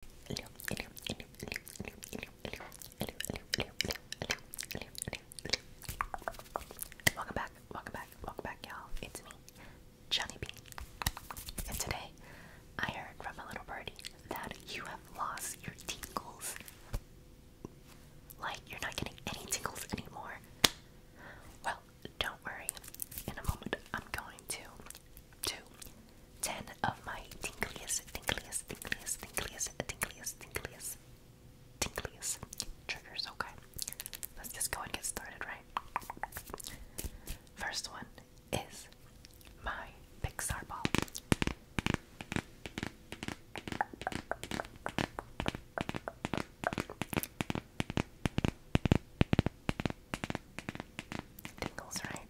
Welcome back, welcome back, welcome back, y'all. It's me, Johnny B. And today, I heard from a little birdie that you have lost your tingles. Like, you're not getting any tingles anymore. Well, don't worry. In a moment, I'm going to two, ten of my tinkliest, tinkliest, tinkliest, tinkliest, tinkliest, tinkliest, tinkliest triggers. Okay, let's just go and get started, right? First one is my Pixar ball. Tingles, right?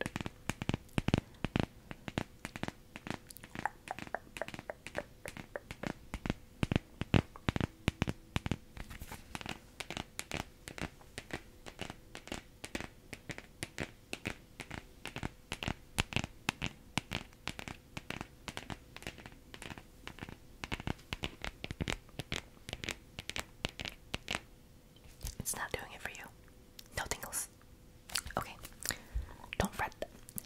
It's not doing it for you. No tingles. Okay. Don't fret.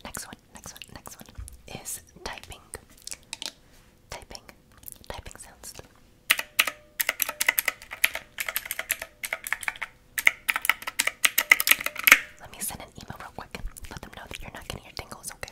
Next one, next one, next one is typing. Typing. Typing sounds. Let me send an email real quick. Let them know that you're not getting your tingles, okay?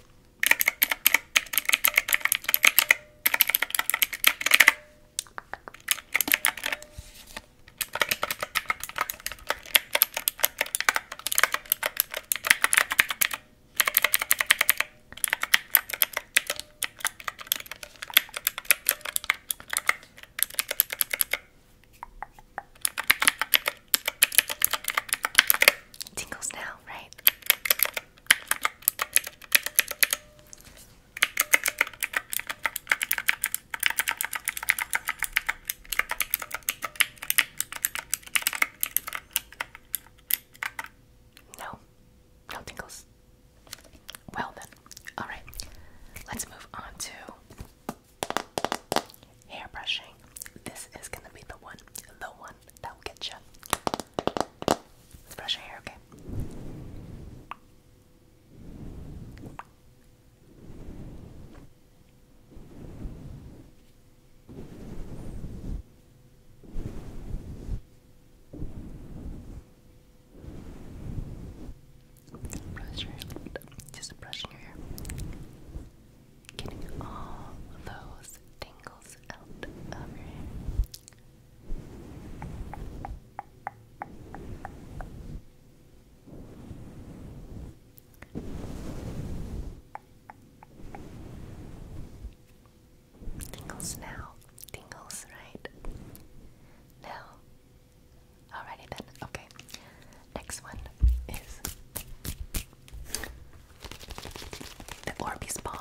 Tingles now, right? No, no tingles. Well, then, all right, let's move on to hair brushing. This is gonna be the one, the one that will get you. Let's brush your hair, okay? Brush your hair. Just brushing your hair. Getting all those tingles out of your hair. Tingles now. Tingles, right? No. Alrighty then. Okay. Next one is the Orbeez ball.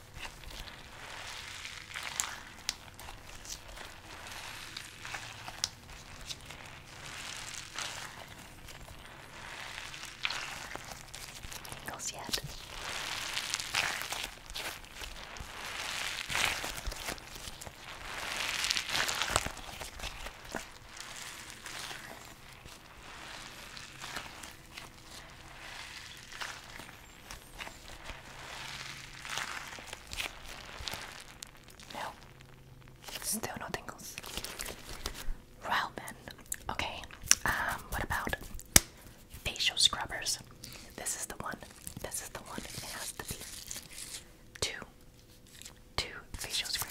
Tingles yet. No. Still no tingles. Well then, okay. Um, what about facial scrubbers? This is the one. This is the one. It has to be two, two facial scrubbers.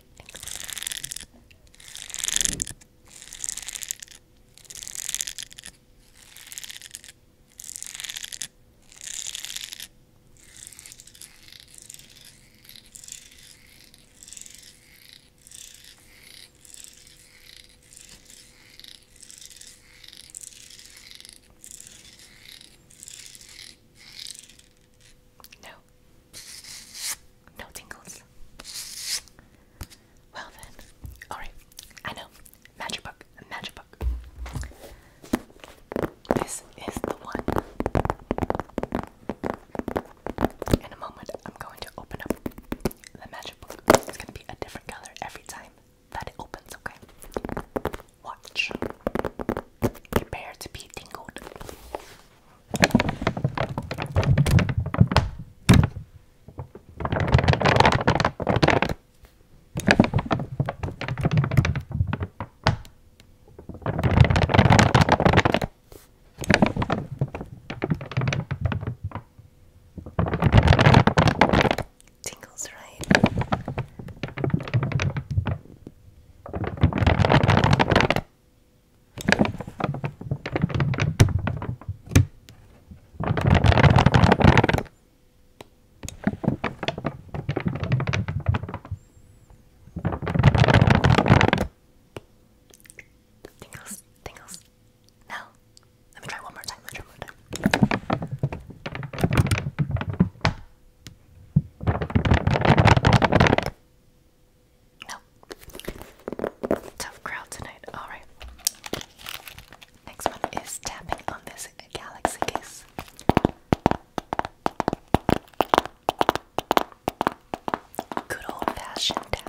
straightening. No, no tingles. Well then. Alright. I know. Magic book. Magic book. This is the one. In a moment, I'm going to open up the magic book. It's going to be a different color every time that it opens, okay? Watch. Prepare to be tingled. Tingles, right? Tingles, tingles. No. Let me try one more time. Let me try one more time. No. Tough crowd tonight. Alright. Next one is tapping on this galaxy case. Good old fashioned tapping.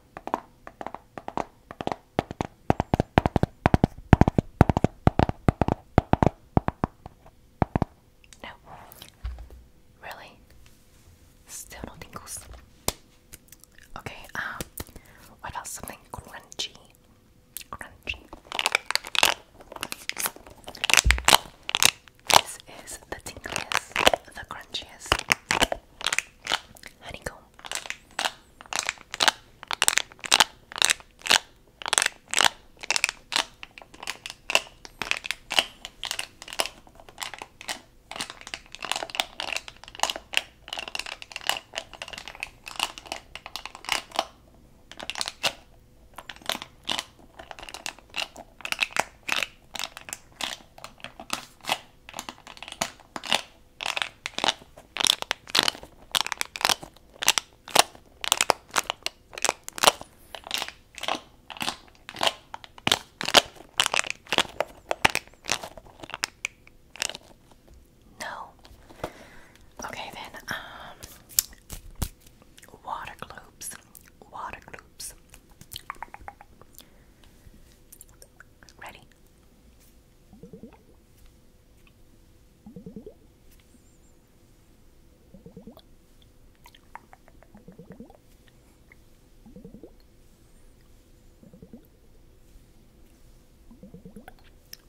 No, really, still no tingles. Okay, um, what about something crunchy? Crunchy. This is the tingliest, the crunchiest honeycomb. No. Okay then, um water globes. Water globes. Ready?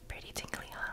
Pretty tingly, huh?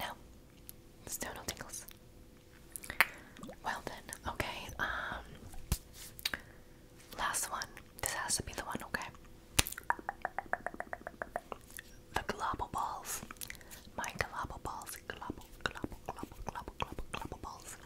No, still tingles. Well then, okay. Um, last one. This has to be the one, okay? The global balls. My global balls. Global, global, global, global, global balls.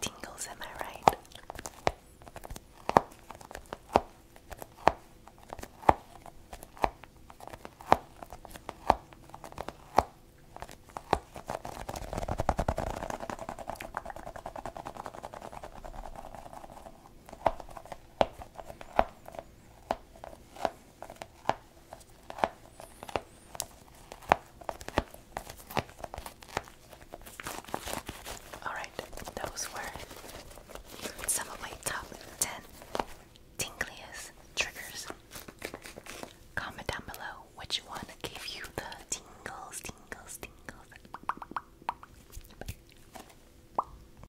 Tingles, am I right? Alright, those were some of my top 10 tingliest triggers. Comment down below which one gave you the tingles, tingles, tingles.